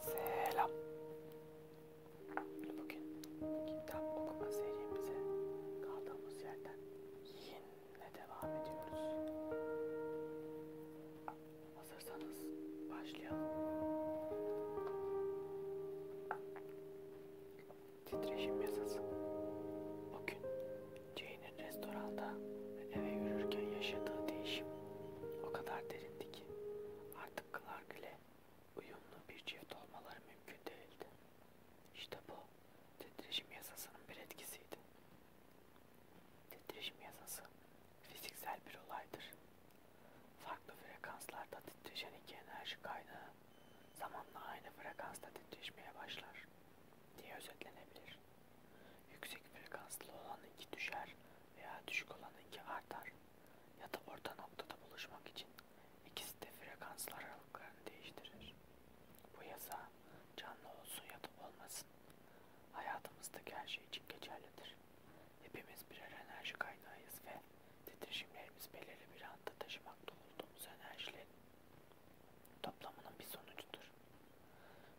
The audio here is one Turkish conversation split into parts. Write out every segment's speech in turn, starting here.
Selam. Bugün kitap okuma serimize kaldığımız yerden yine devam ediyoruz. Hazırsanız başlayalım. Titreşim yasası. Bugün Jane'in restoranda ve eve yürürken yaşadığı değişim o kadar derin belirtti ki artık Clark ile uyumlu bir çift olmaları mümkün değildi. İşte bu titreşim yasasının bir etkisiydi. Titreşim yasası fiziksel bir olaydır. Farklı frekanslarda titreşen iki enerji kaynağı zamanla aynı frekansta titreşmeye başlar diye özetlenebilir. Yüksek frekanslı olan iki düşer veya düşük olanınki artar ya da orta noktada buluşmak için ikisi de frekanslar aralıklarını değiştirir. Bu yasa canlı olsun ya da olmasın hayatımızdaki her şey için geçerlidir. Hepimiz birer enerji kaynağıyız ve titreşimlerimiz belirli bir anda taşımakta olduğumuz enerjilerin toplamının bir sonucudur.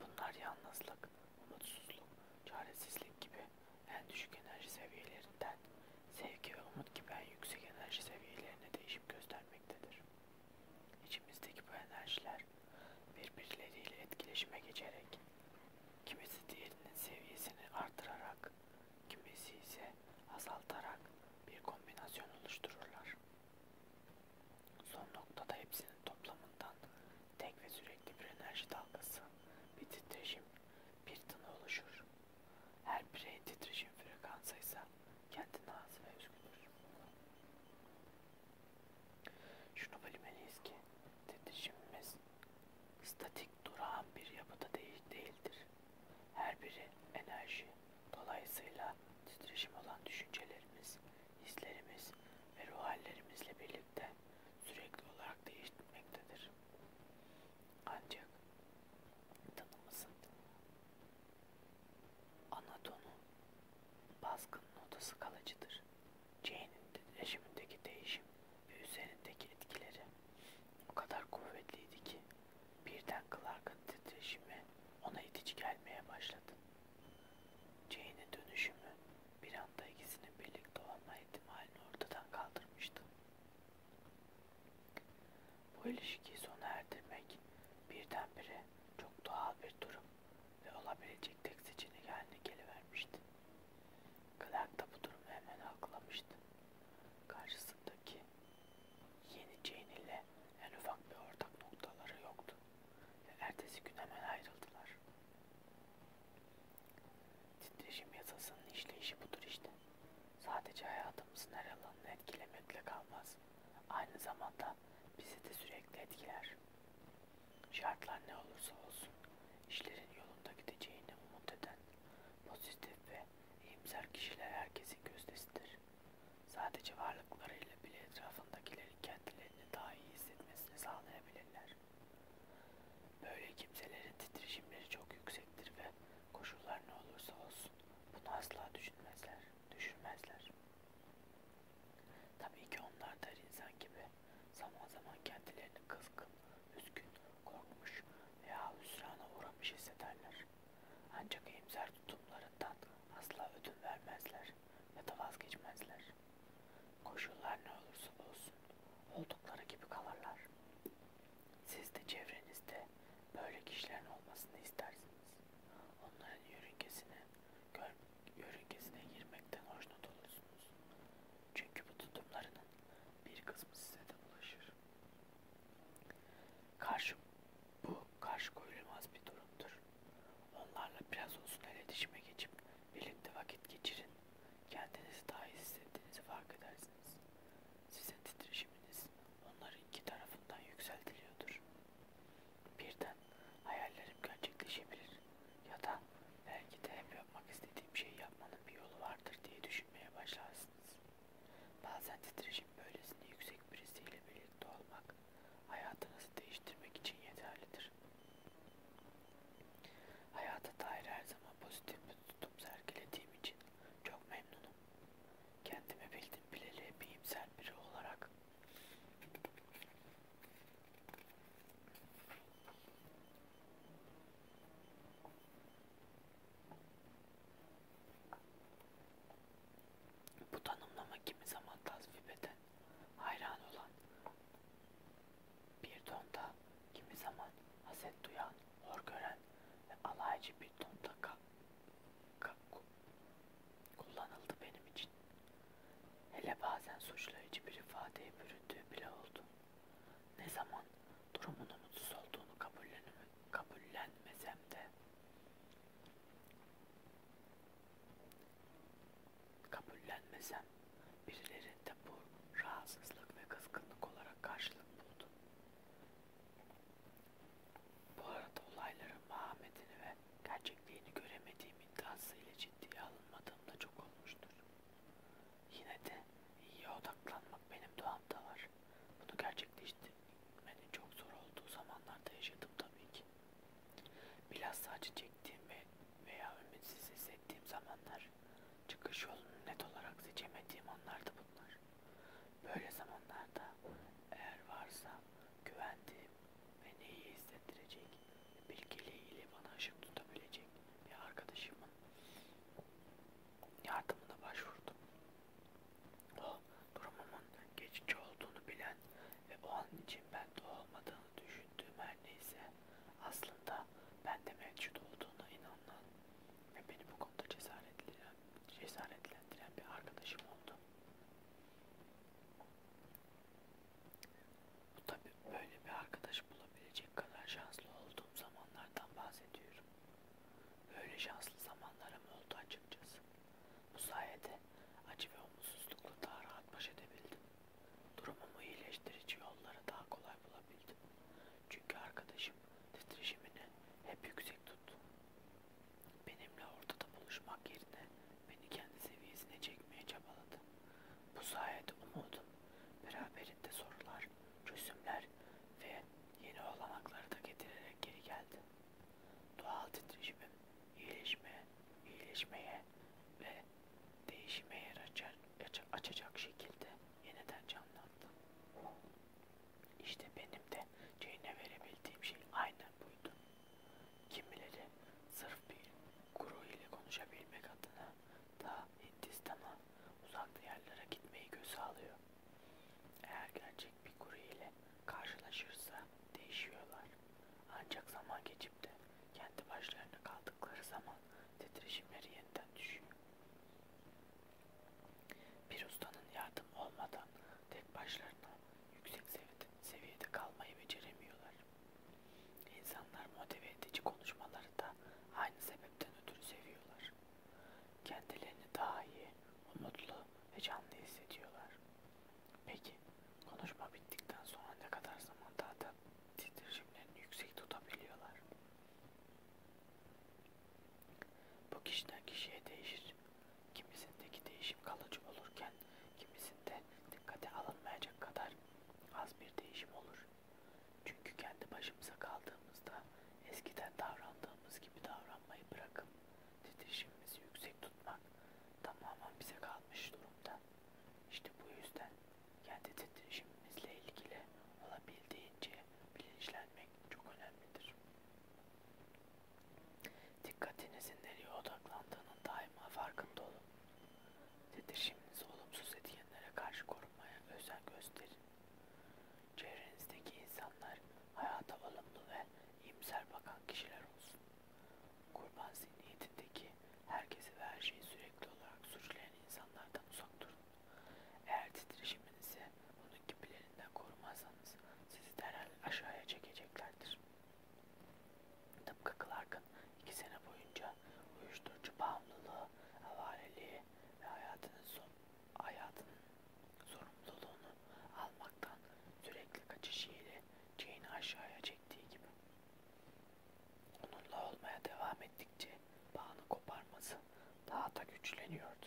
Bunlar yalnızlık, umutsuzluk, çaresizlik gibi en düşük enerji seviyelerinden sevgi ve umut gibi en yüksek enerji seviyelerine değişim göstermektedir. İçimizdeki bu enerjiler birbirleriyle etkileşime geçerek kimisi diğerinin seviyesini artırarak kimisi ise azaltarak bir kombinasyon oluştururlar. Son noktada hepsinin toplamından Tek ve sürekli bir enerji dalgası, bir titreşim, bir tını oluşur. Her bireyin titreşim frekansı ise kendine has ve özgüdür. Şunu bilmeliyiz ki titreşimimiz statik durağan bir yapıda değil, değildir. Her biri enerji, dolayısıyla titreşim olan düşüncelerimiz hislerimiz ve ruh hallerimizle birlikte sürekli olarak değişmektedir. Ancak tanımızın anatonu baskının odası kalıcıdır. Jane'in rejimindeki değişim ve üzerindeki etkileri o kadar kuvvetliydi ki birden Clark'ın titreşimi ona itici gelmeye başladı. Jane'in dönüşümü bir anda ikisinin birlikte olma ihtimalini ortadan kaldırmıştı. Bu ilişkiyi sona erdirmek birdenbire çok doğal bir durum ve olabilecek tek seçenek haline gelivermişti. Clark da bu durumu hemen algılamıştı. Karşısındaki yeni Jane ile en ufak bir ortak noktaları yoktu. Ertesi gün hemen ayrıldılar. Titreşim yasasının işleyişi budur işte. Sadece hayatımızın her alanını etkilemekle kalmaz. Aynı zamanda bizi de sürekli etkiler. Şartlar ne olursa olsun işlerin yolunda gideceğini umut eden pozitif ve iyimser kişiler herkesin gözdesidir. Sadece varlıklarıyla bile etrafındakilerin kendilerini daha iyi hissetmesini sağlayabilirler. Böyle kimselerin titreşimleri çok yüksektir ve koşullar ne olursa olsun bunu asla düşünmezler, düşürmezler. Tabii ki onlar da insan gibi zaman zaman kendilerini kızgın, üzgün, korkmuş veya hüsrana uğramış hissederler. Ancak iyimser tutumlarından asla ödün vermezler ya da vazgeçmezler. Koşullar ne olursa olsun oldukları gibi kalırlar. Siz de çevrenizde böyle kişilerin olmasını istersiniz. Onların yörüngesine, gör, yörüngesine girmekten hoşnut olursunuz. Çünkü bu tutumlarının bir kısmı size de bulaşır. Karşı, bu karşı koyulmaz bir durumdur. Onlarla biraz olsun iletişime geçip birlikte vakit geçirin. Kendinizi daha iyi hissettiğinizi fark edersiniz. Sizin titreşiminiz onların iki tarafından yükseltiliyordur. Birden hayallerim gerçekleşebilir ya da belki de hep yapmak istediğim şeyi yapmanın bir yolu vardır diye düşünmeye başlarsınız. Bazen titreşim böylesine yüksek birisiyle birlikte olmak hayatınızı değiştirmek için yeterlidir. Hayata dair her zaman pozitif bir tutum sergilediğim için çok memnunum. Kendimi bildim bileli bir imsel biri olarak bu tanımlama kimi zaman tasvip hayran olan bir tonda, kimi zaman haset duyan, hor gören ve alaycı bir tonda ka, ka, kullanıldı benim için. Hele bazen suçlayıcı bir ifadeye büründüğü bile oldu. Ne zaman durumunun mutsuz olduğunu kabullenmesem de Kabullenmesem birilerinde bu rahatsızlık ve kızgınlık olarak karşılık buldu. Bu arada olayların mahametini ve gerçekliğini göremediğim iddiasıyla ciddiye alınmadığımda çok olmuştur. Yine de iyiye odaklanmak benim doğamda var. Bunu gerçekleştirdim Hani çok zor olduğu zamanlarda yaşadım tabii ki. Bilhassa acı çektiğim ve veya ümitsiz hissettiğim zamanlar, çıkış yolunu net olarak seçemediğim anlardı bunlar. Böyle zamanlarda eğer varsa güvendiğim ve neyi hissettirecek, bilgeliğiyle bana ışık tutabilecek bir arkadaşımın yardımına başvurdum. O oh, durumumun geçici olduğunu bilen ve o an için bende olmadığını düşündüğüm her neyse aslında bende mevcut olduğuna inanan ve beni bu konuda cesaretlendiren, cesaretlendiren bir arkadaşım oldu. Bu tabi böyle bir arkadaş bulabilecek kadar şanslı olduğum zamanlardan bahsediyorum. Böyle şanslı zamanlarım oldu açıkçası. Bu sayede acı ve umutsuzlukla daha rahat baş edebildim. Durumumu iyileştirici yolları daha kolay bulabildim. Çünkü arkadaşım titreşimini hep yüksek tuttu. Benimle ortada buluşmak yerine beni kendi seviyesine çekmeye çabaladı. Bu sayede umudum, beraberinde sorular, çözümler ve yeni olanakları da getirerek geri geldi. Doğal titreşimin iyileşme, iyileşmeye ve değişime yer açar, açacak şekilde yeniden canlandı. İşte benim de Jane'e verebildiğim şey aynen buydu. Kimileri sırf bir guru ile konuşabilmek adına ta Hindistan'a uzak diyarlara gitmeyi göze alıyor. Eğer gerçek bir kurye ile karşılaşırsa değişiyorlar. Ancak zaman geçip de kendi başlarına kaldıkları zaman titreşimleri yeniden düşüyor. Bir ustanın yardım olmadan tek başlarına yüksek seviyede, seviyede kalmayı beceremiyorlar. İnsanlar motive edici konuşmaları da aynı sebepten ötürü seviyorlar. Kendilerini daha iyi, umutlu ve canlı hissediyorlar. Peki, konuşma bittikten sonra ne kadar zaman daha titreşimlerini yüksek tutabiliyorlar? Bu kişiden kişiye değişir. Kimisindeki değişim kalıcı olurken, kimisinde dikkate alınmayacak kadar az bir değişim olur. Çünkü kendi başımıza kaldığımızda eskiden davrandığımız gibi davranmayı bırakıp titreşimimizi yüksek tutmak tamamen bize kalmış durumda. İşte bu yüzden kendi titreşimimizle ilgili olabildiğince bilinçlenmek çok önemlidir. Dikkatinizin nereye odaklandığının daima farkında olun. Titreşiminizi olumsuz etkenlere karşı korumaya özen gösterin. Çevrenizdeki insanlar hayata olumlu ve iyimser bakan kişiler olsun. Kurban zihniyetindeki herkesi ve her şeyi sürekli olarak suçlayan insanlardan uzak durun. Eğer titreşiminizi onun gibilerinden korumazsanız sizi derhal aşağıya çekeceklerdir. Tıpkı Clark'ın iki sene boyunca uyuşturucu bağımlılığı, havaleliği ve hayatının son hayatının sorumluluğunu almaktan sürekli kaçışıyla Jane'i aşağıya çektiği gibi. Onunla olmaya devam ettikçe bağını koparması daha da güçleniyordu.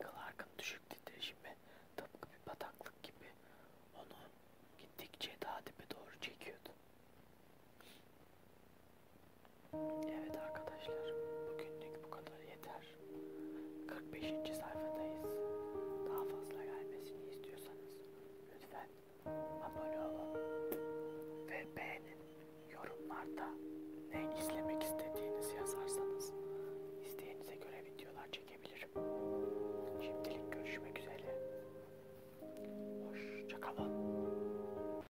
Clark'ın düşük titreşimi tıpkı bir bataklık gibi onu gittikçe daha dibe doğru çekiyordu. Evet arkadaşlar, bugünlük bu kadar yeter. 45. sayfadayız. Daha fazla gelmesini istiyorsanız lütfen abone olun ve beğenin. Yorumlarda ne izlemek istediğinizi yazarsanız isteğinize göre videolar çekebilirim. Şimdilik görüşmek üzere. Hoşçakalın.